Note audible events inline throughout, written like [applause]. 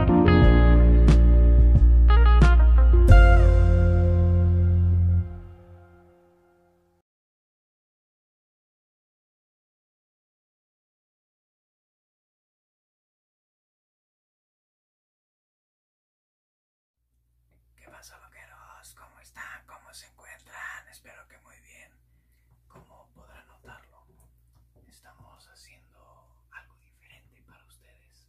¿Qué pasa, loqueros? ¿Cómo están? ¿Cómo se encuentran? Espero que muy bien. Como podrán notarlo, estamos haciendo algo para ustedes.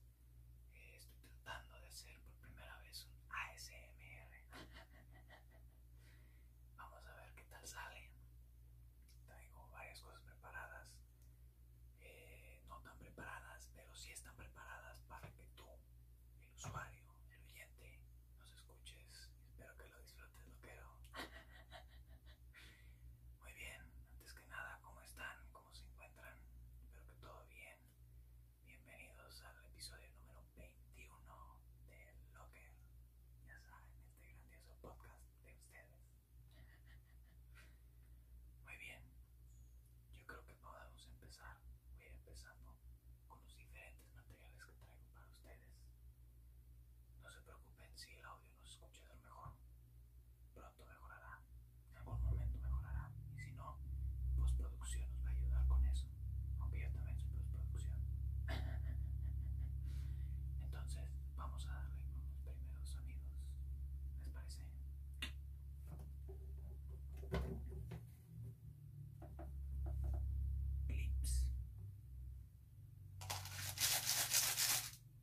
Eh, estoy tratando de hacer por primera vez un ASMR. Vamos a ver qué tal sale. Tengo varias cosas preparadas. Eh, no tan preparadas, pero sí están preparadas para que tú, el usuario, el oyente, nos escuches. Espero que lo disfrutes, lo quiero. Muy bien, antes que nada, ¿cómo están? ¿Cómo se encuentran? Espero que todo bien. Bienvenidos al episodio número 21 de Locker. Ya saben, este grandioso podcast de ustedes. Muy bien, yo creo que podemos empezar. Voy empezando con los diferentes materiales que traigo para ustedes. No se preocupen si el audio los escuchadores mejor. Pronto mejorará, en algún momento mejorará. Y si no, postproducción nos va a ayudar con eso. Aunque yo también soy postproducción. [laughs] Entonces, vamos a darle con los primeros sonidos. ¿Les parece? Clips.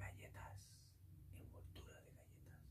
Galletas, envoltura de galletas.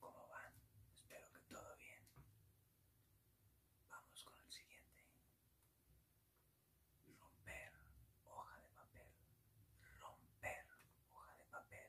¿Cómo van? Espero que todo bien. Vamos con el siguiente. Romper hoja de papel. Romper hoja de papel.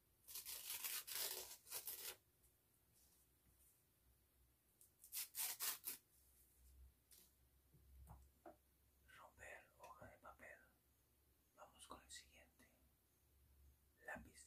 Romper hoja de papel. Vamos con el siguiente. Lápices.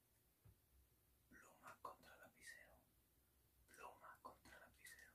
Loma contra lapicero. loma contra lapicero.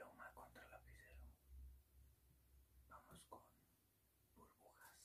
Loma contra lapicero. Vamos con burbujas.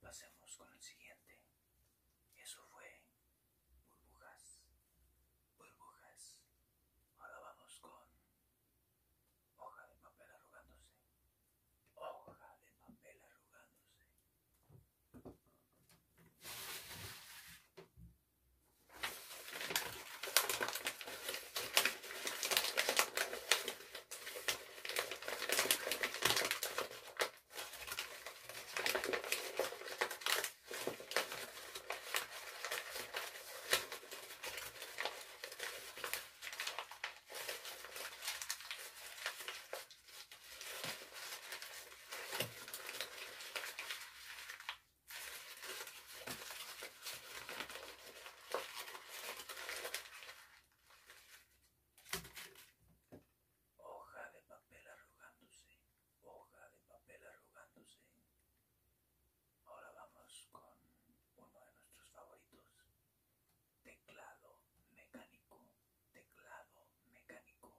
Pasemos con el siguiente. Eso fue burbujas, burbujas. Ahora vamos con Hoja de papel arrugándose. Hoja de papel arrugándose hoja de papel arrugándose, hoja de papel arrugándose, Ahora vamos con uno de nuestros favoritos. Teclado mecánico. Teclado mecánico.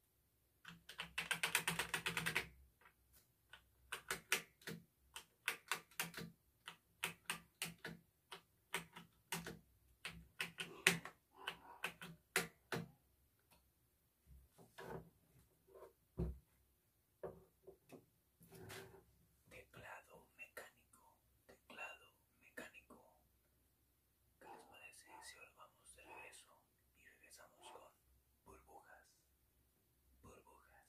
Teclado mecánico, teclado mecánico, parece si volvamos de regreso Y regresamos con burbujas. Burbujas.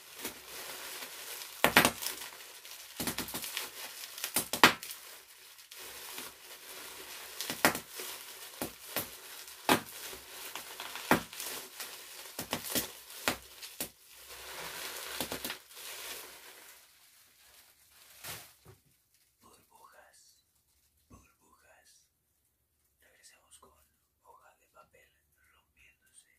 Burbujas, burbujas. Regresamos con hoja de papel rompiéndose.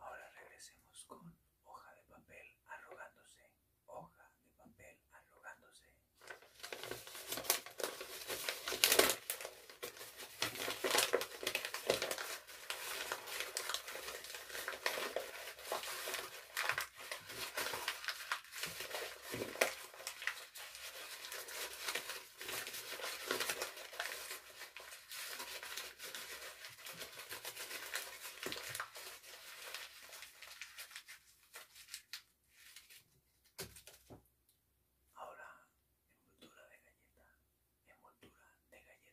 Ahora regresemos con hoja de papel arrugándose, hoja de papel arrugándose. Ahora, envoltura de galleta, envoltura de galleta.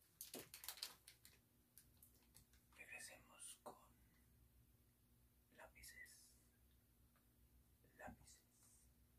Regresemos con lápices. Lápices.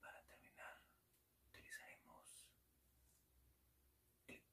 Para terminar, utilizaremos clips.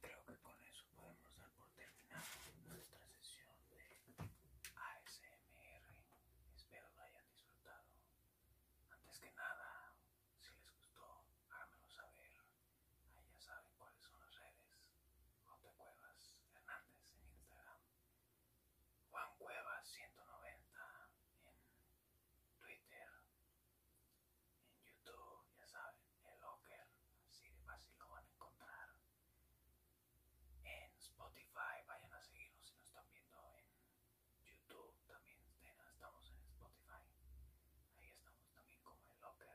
Creo que con eso podemos dar por terminado nuestra sesión de ASMR. Espero lo hayan disfrutado. Antes que nada, si les gustó, háganmelo saber. Ahí ya saben cuáles son las redes. J. Cuevas Hernández en Instagram. Juan Cuevas 190 en Twitter, en YouTube, ya saben, el Locker, así de fácil lo van a encontrar. En Spotify, vayan a seguirnos si nos están viendo en YouTube, también estamos en Spotify. Ahí estamos también como el Locker.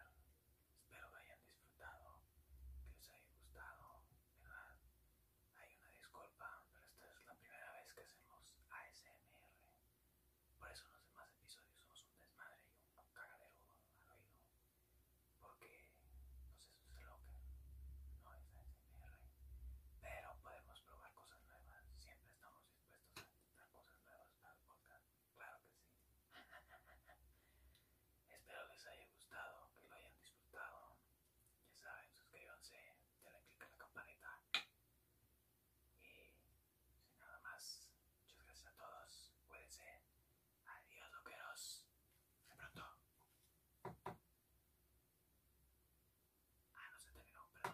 Espero que hayan disfrutado, que os haya gustado, ¿verdad? Hay una disculpa, pero esta es la primera vez que hacemos ASMR. Por eso los demás episodios somos un desmadre y un cagadero al oído. Porque, pues eso es lo no es ASMR. Pero podemos probar cosas nuevas. Siempre estamos dispuestos a probar cosas nuevas para el Claro que sí. [laughs] Espero les haya gustado, que lo hayan disfrutado ya saben, suscríbanse, denle click a la campanita. Y sin nada más, muchas gracias a todos. ser. Adiós, loqueros. Hasta pronto. Ah, no se terminó, perdón.